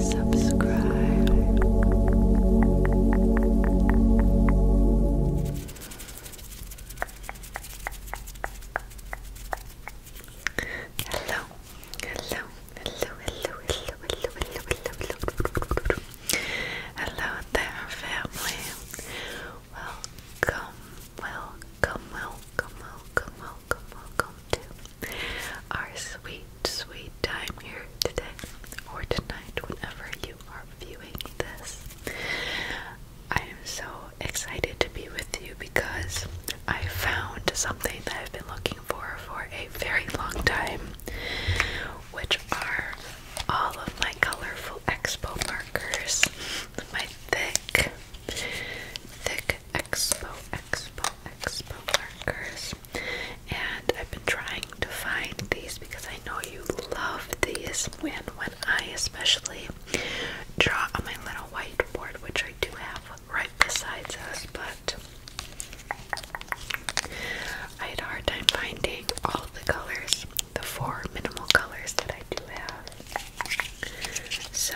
Subscribe. Hello, hello, hello, hello, hello, hello, hello, hello, hello there, family. Welcome, welcome, welcome welcome, welcome, welcome, welcome to our sweet, sweet time here today or tonight, whenever you are viewing this. I am so excited to be with you because I found something that I've been looking for for a very long time, which are all of my colorful expo markers, my thick thick Expo Expo Expo markers. And I've been trying to find these because I know you love these. When when I especially draw on my little whiteboard, which I do have right besides us, but I had a hard time finding all the colors, the four minimal colors that I do have. So,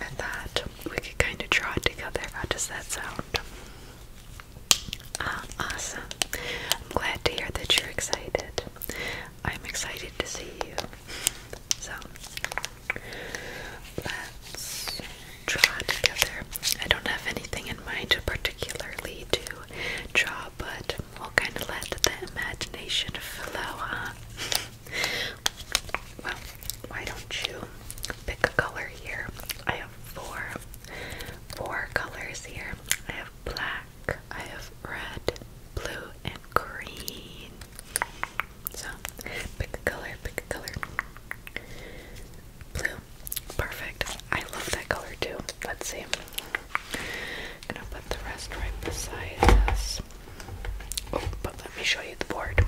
I thought we could kind of draw it together. How does that sound? Um, awesome. I'm glad to hear that you're excited. I'm excited to see you. So, let's draw together. I don't have anything in mind particularly to draw, but We'll kind of let the imagination flow, huh? well, why don't you pick a color here? I have four, four colors here. I have black, I have red, blue, and green. So, pick a color, pick a color. Blue. Perfect. I love that color too. Let's see. I'm gonna put the rest right beside us. Oh, but let me show you the board.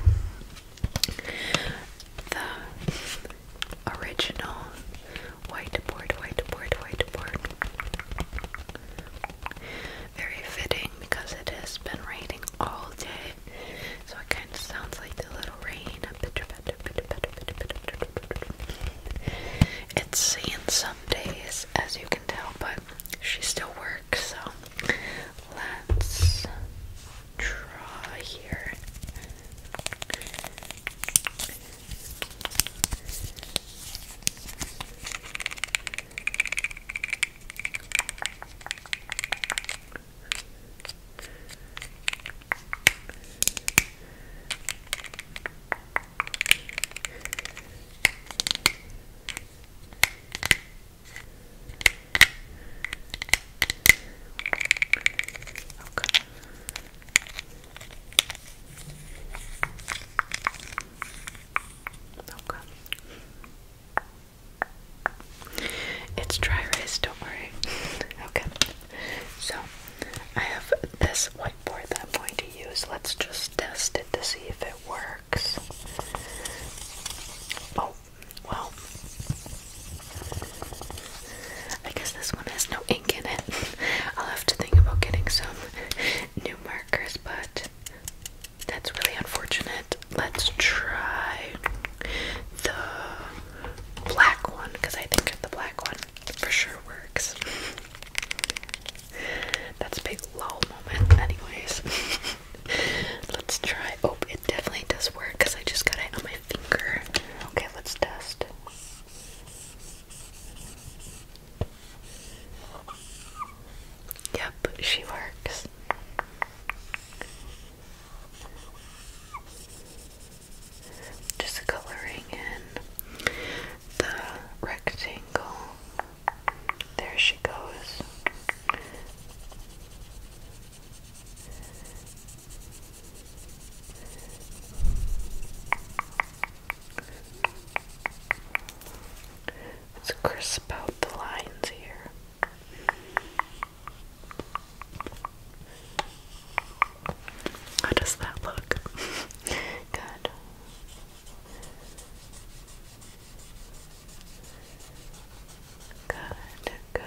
The original whiteboard, whiteboard, whiteboard. Very fitting because it has been raining all day. So it kind of sounds like the little rain. It's seen some days, as you can tell, but she still works, so let's draw here. Okay. Okay. It's dry rice. don't worry. okay. So I have this one whiteboard that I'm going to use. Let's just test it to see if it works. Oh, well. I guess this one has no ink in it. I'll have to think about getting some new markers, but that's really unfortunate. Let's try the black one because I think the black one for sure works. That's a big lol moment, anyways. let's try. Oh, it definitely does work because I just got it on my finger. Okay, let's test. Yep, she works. Just coloring in the rectangle. There she goes. Let's crisp out the lines here. How does that look? Good. Good, good.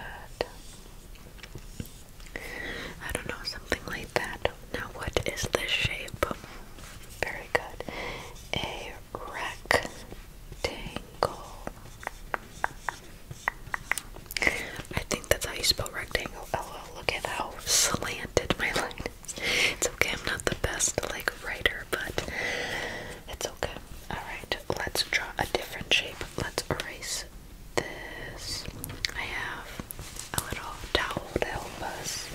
I don't know, something like that. Now, what is this shape? Very good. A rectangle. I think that's how you spell rectangle. L look at how slanted my line is. It's okay, I'm not the best like writer, but it's okay. Alright, let's draw a different shape. Let's erase this. I have a little towel to help us.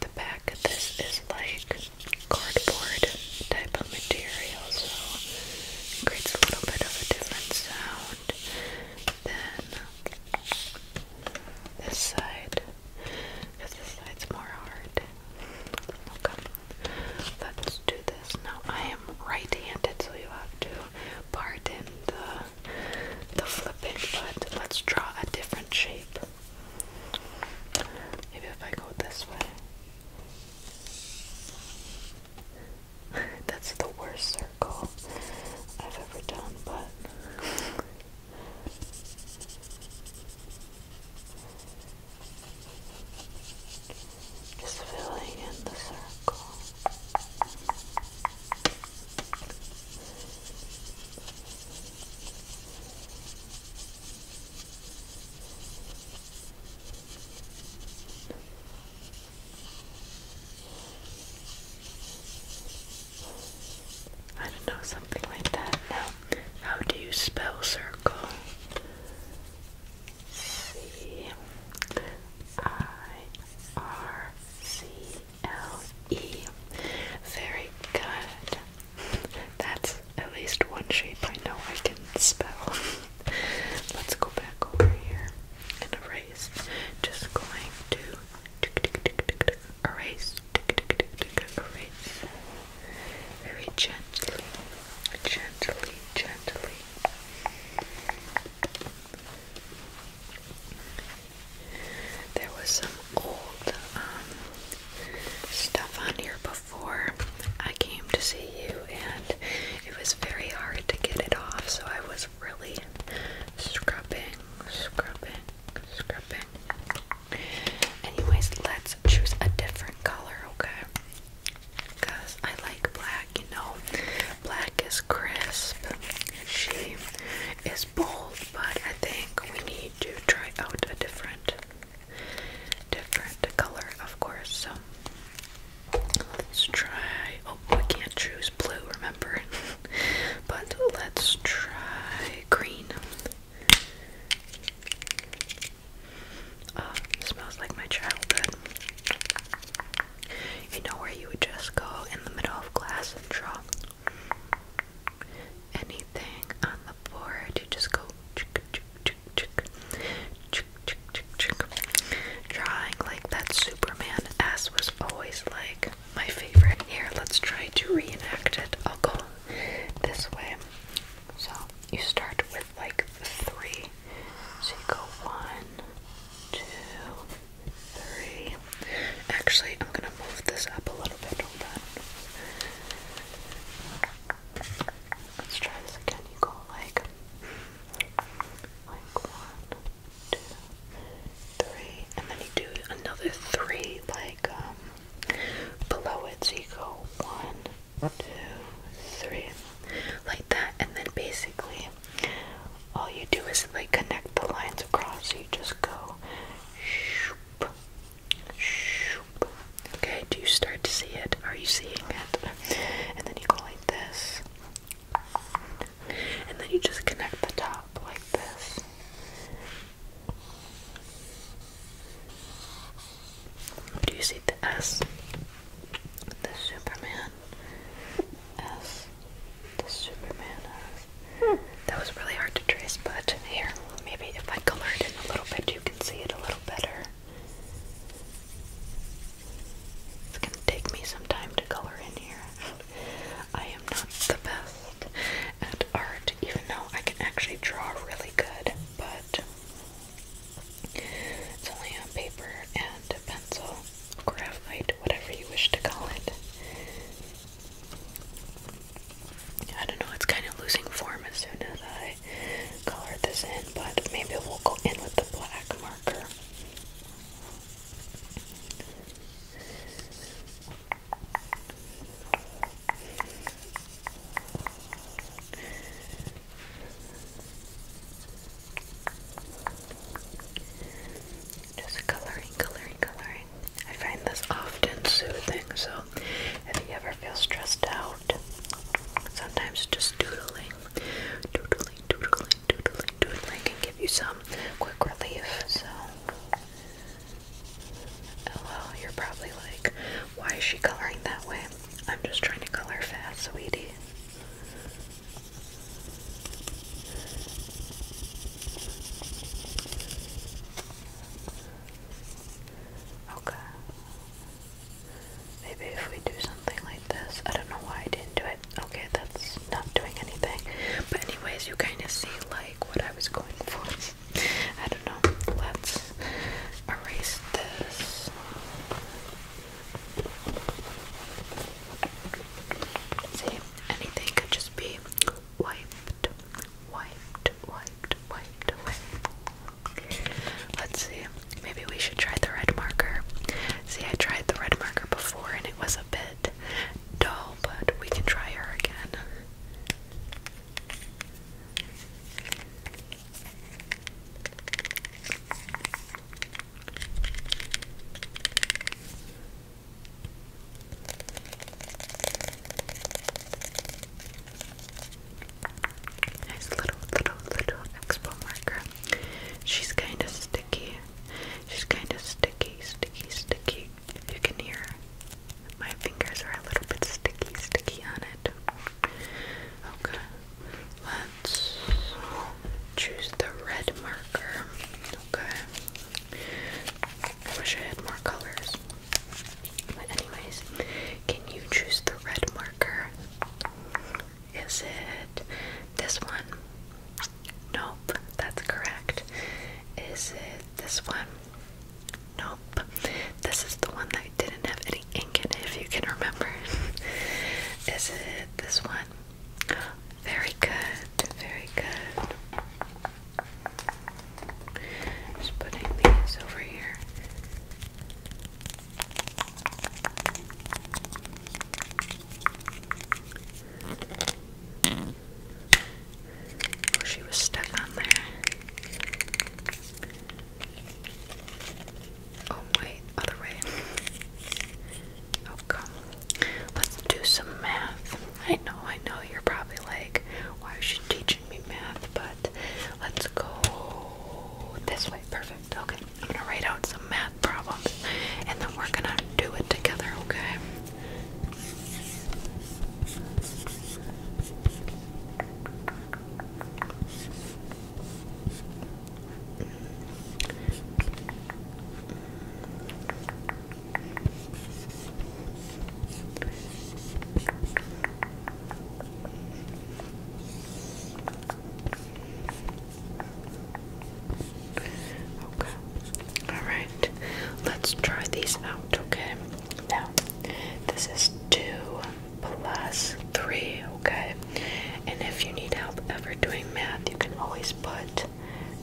The back of this is like cardboard type of material, so it creates a little bit of a different sound than this side, because this side's more hard. Okay, let's do this. Now, I am right-handed, so you have to pardon the the flipping, but let's draw a different shape. Maybe if I go this way. That's the worst circle I've ever done, but. Just filling in the circle. I don't know, something like that. Now, how do you spell circle? C I R C L E. Very good. That's at least one shape I know I can spell. Let's go back over here and erase. Just going to erase, erase very gently, gently, gently. There was some old um, stuff on here before I came to see you, and it was very hard to get it off, so I was really scrubbing, scrubbing, scrubbing. Anyways, let's choose a different color, okay? Because I like black, you know. Black is crisp. She is bold, but I think we need to try out a different different color, of course. So let's try oh we can't choose blue, remember? but let's try green. Uh, smells like my childhood. You know where you would just go in the middle of class and draw anything on the board, you just go chick, chick, chick, chick, chick, chick, chick, chick. drawing like that Superman S was always like my favorite. Here, let's try to reenact it. I'll go this way. So you start with like three. So you go one, two, three. Actually, I'm gonna move this up a little bit. Let's try this again. You go like, like one, two, three, and then you do another three, like um, below it. So you go one, two, three, like that, and then basically all you do is like connect the lines across. So you just go. Okay, do you start to see it? Are you seeing it? And then you go like this. And then you just connect the top like this. Do you see the S? The Superman S. The Superman that was really hard to trace, but here, maybe if I color it in a little bit, you can see it a little better. It's gonna take me some time to color in here. I am not the best at art, even though I can actually draw really good, but it's only on paper and pencil, graphite, whatever you wish to call it. I don't know, it's kind of losing form as soon as I color this in, but maybe we'll go in with the black marker. Just coloring, coloring, coloring. I find this often soothing, so if you ever feel stressed out, sometimes just doodling, doodling, doodling, doodling, doodling can give you some quick relief. So, hello, oh, you're probably like, why is she coloring that way? I'm just trying to color fast, sweetie. Okay. Maybe if we do something like this, I don't know why I didn't do it. Okay, that's not doing anything. But anyways, you kind of see like what I was going for. I don't know. Let's erase this. See, anything could just be wiped, wiped, wiped, wiped away. Let's see. Maybe we should try the red marker. See, I tried the red marker before and it was a bit dull, but we can try her again. Nice little, little, little expo marker. She's kind of sticky. She's kind of sticky, sticky, sticky. you can hear, my fingers are a little bit sticky, sticky on it. Okay, let's choose the red marker. Okay, I wish I had more colors. But anyways, can you choose the red marker? Is it this one? Nope, that's correct. Is it this one? Nope. This is the one that didn't have any ink in if you can remember. is it this one? Very good, very good. Just putting these over here. Oh, she was stuck on there. Oh, wait, other way. Okay. Oh, let's do some math. I know, I know you're probably like, why is she teaching me math? But let's go this way. Perfect. Okay. I'm gonna write out some math problems and then we're gonna do it together, Okay. Okay. All right. Let's try these out, okay? Now, this is 2 plus 3, okay? And if you need help ever doing math, you can always put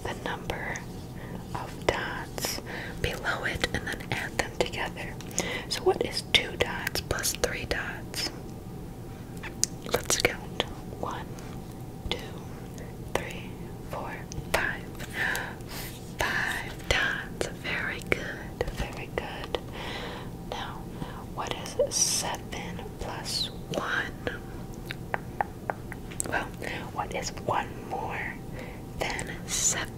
the number of dots below it and then add them together. So, what is two dots plus three dots? Let's count one, two, three, four, five. Five dots. Very good. Very good. Now, what is seven plus one? Well, what is one more than seven?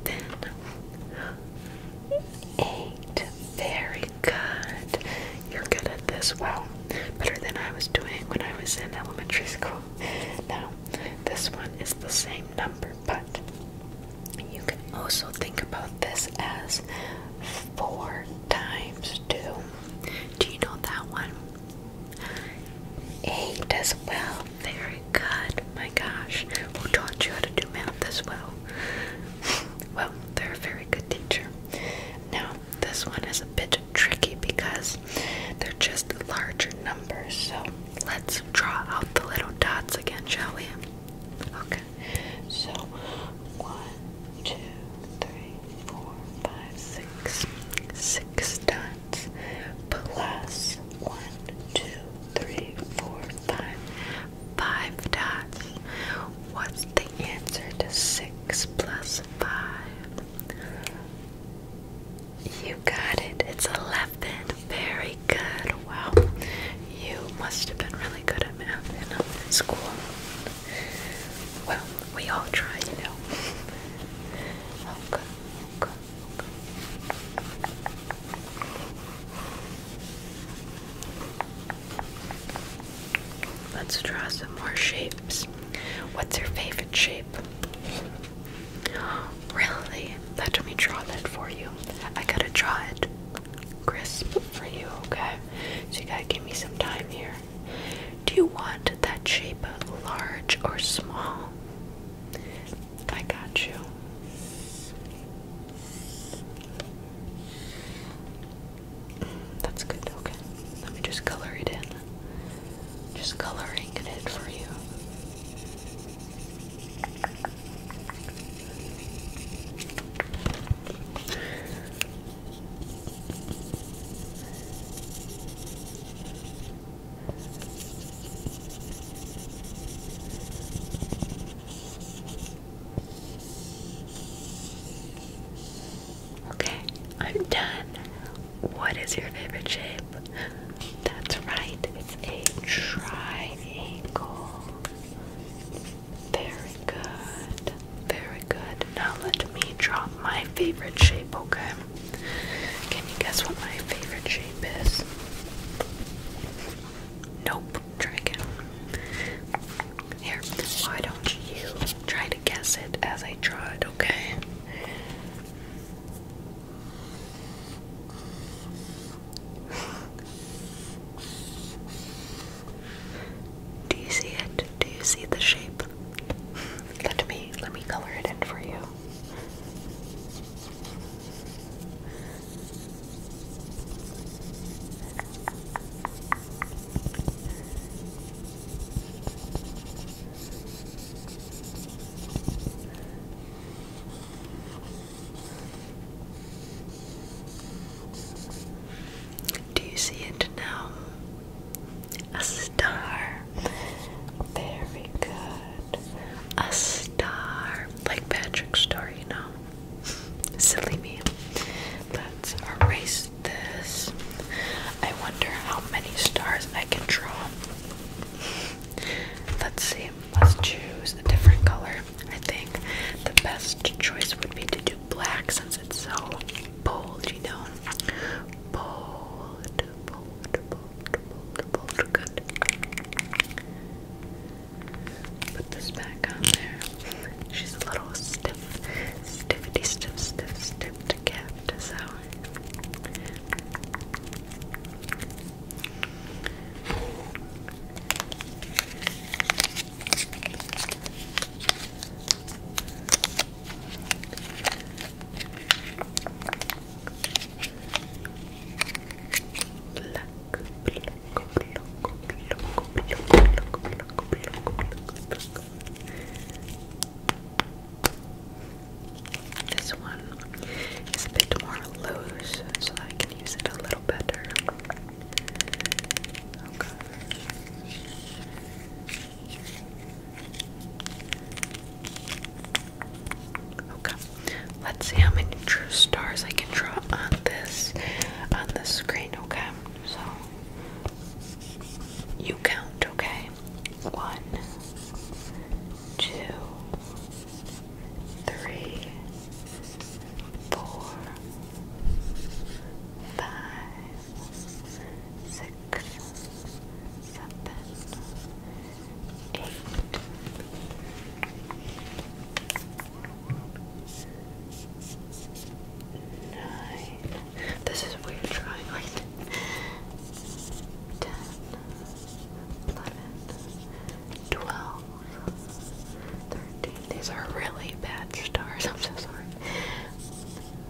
Eight. Very good. You're good at this. Well, better than I was doing when I was in elementary school. Now, this one is the same number, but you can also think about this as four times two. Do you know that one? Eight as well. Very good. My gosh. Who taught you how to do math as well? well, they're a very good teacher. Now, this one is a bit tricky because they're just larger numbers. So let's draw out the little dots again, shall we? Okay. So one, two, three, four, five, six, six dots plus one, two, three, four, five, five dots. What's the answer to six plus five? You got it. It's eleven. Very good. Wow. You must have been really good at math in school. Well, we all try, you know. Okay, okay, okay. Let's draw some more shapes. What's your favorite shape? Really? Let me draw that for you. I gotta draw it crisp for you, okay? So you gotta give me some time here. Do you want that shape large or small? I got you. That's good, okay. Let me just color it in. Just coloring it for you. Okay, I'm done. What is your favorite shape? That's right, it's a triangle. Very good. Very good. Now let me drop my favorite shape, okay? Can you guess what my favorite shape is? Nope. Try again. Here, why don't you try to guess it as I draw it, okay? Do you see it? Do you see the shape? Let me let me color it in for you. Do you see it now? A star. Very good. A star. Like Patrick's star, you know. Silly me. Let's erase this. I wonder how many stars I can draw. Let's see. Let's choose a different color. I think the best choice would be to do black since it's so bold, you know. Bold, bold, bold, bold, bold. Good. Put this back on there. She's a little stiff, stiffity, stiff, stiff, stiff to get. So. This one is a bit more loose, so that I can use it a little better. Oh, Okay. Let's see how many true stars I can draw on this on this screen, okay? So you count, okay? One, two, three, four, five, six, seven, This is weird trying like Ten, eleven, twelve, thirteen. These are really bad stars. I'm so sorry.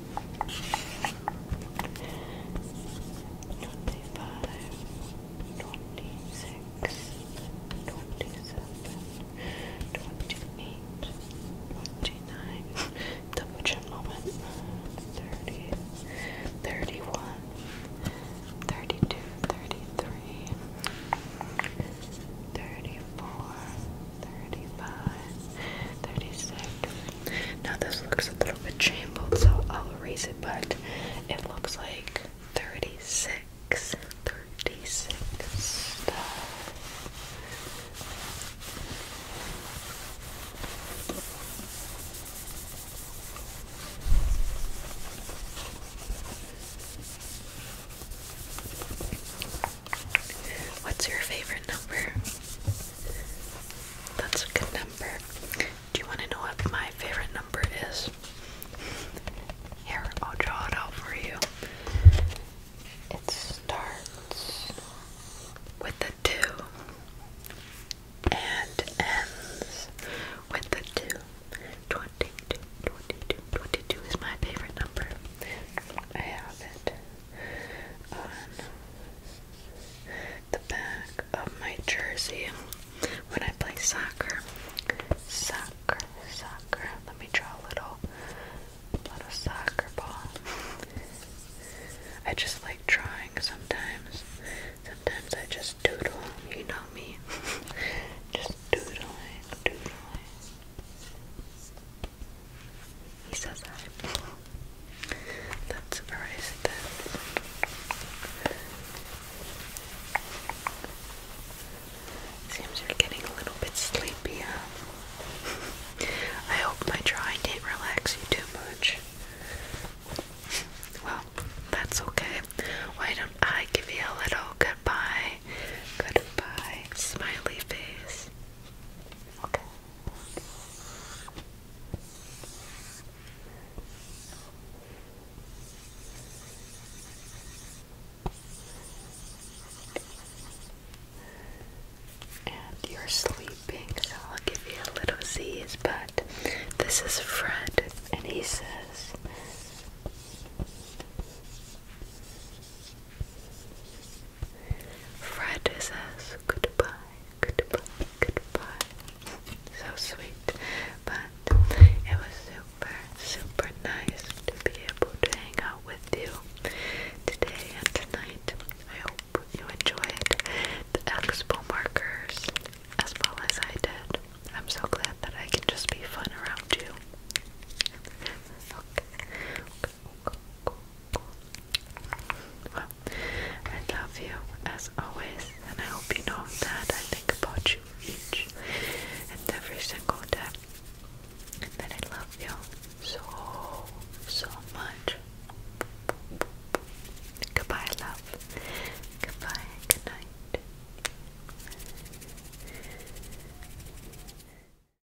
Twenty-five, twenty-six, twenty-seven, twenty-eight, twenty-nine. Double chin moment. Thirty, thirty-one, thirty-two, thirty-three, thirty-four. 35, Now this looks a little bit jumbled, so I'll erase it, but it looks like 36, 36 What's your favorite number? That's a good number. Do you want to know what my favorite number is? Here, I'll draw it out for you. It starts with the two and ends with the two. 22, is my favorite number. I have it on the back of my jersey when I play soccer. Soccer, soccer. Let me draw a little, little soccer ball. I just like drawing sometimes. Sometimes I just doodle. You know me. just doodling, doodling. He says that. Let's erase this. Seems you're getting a little bit sleepy, I hope my drawing didn't relax you too much. Well, that's okay. Why don't I give you a little goodbye? Goodbye, smiley face. Okay. And you're sleeping, so I'll give you a little Z's, but this is Fred, and he says, Fred says goodbye, goodbye, goodbye. So sweet, but it was super, super nice to be able to hang out with you today and tonight. I hope you enjoyed the expo markers as well as I did. I'm so glad that I can just be fun around you. I love you as always, and I hope you know that I think about you each and every single day, and that I love you so, so much. Goodbye, love. Goodbye, good night.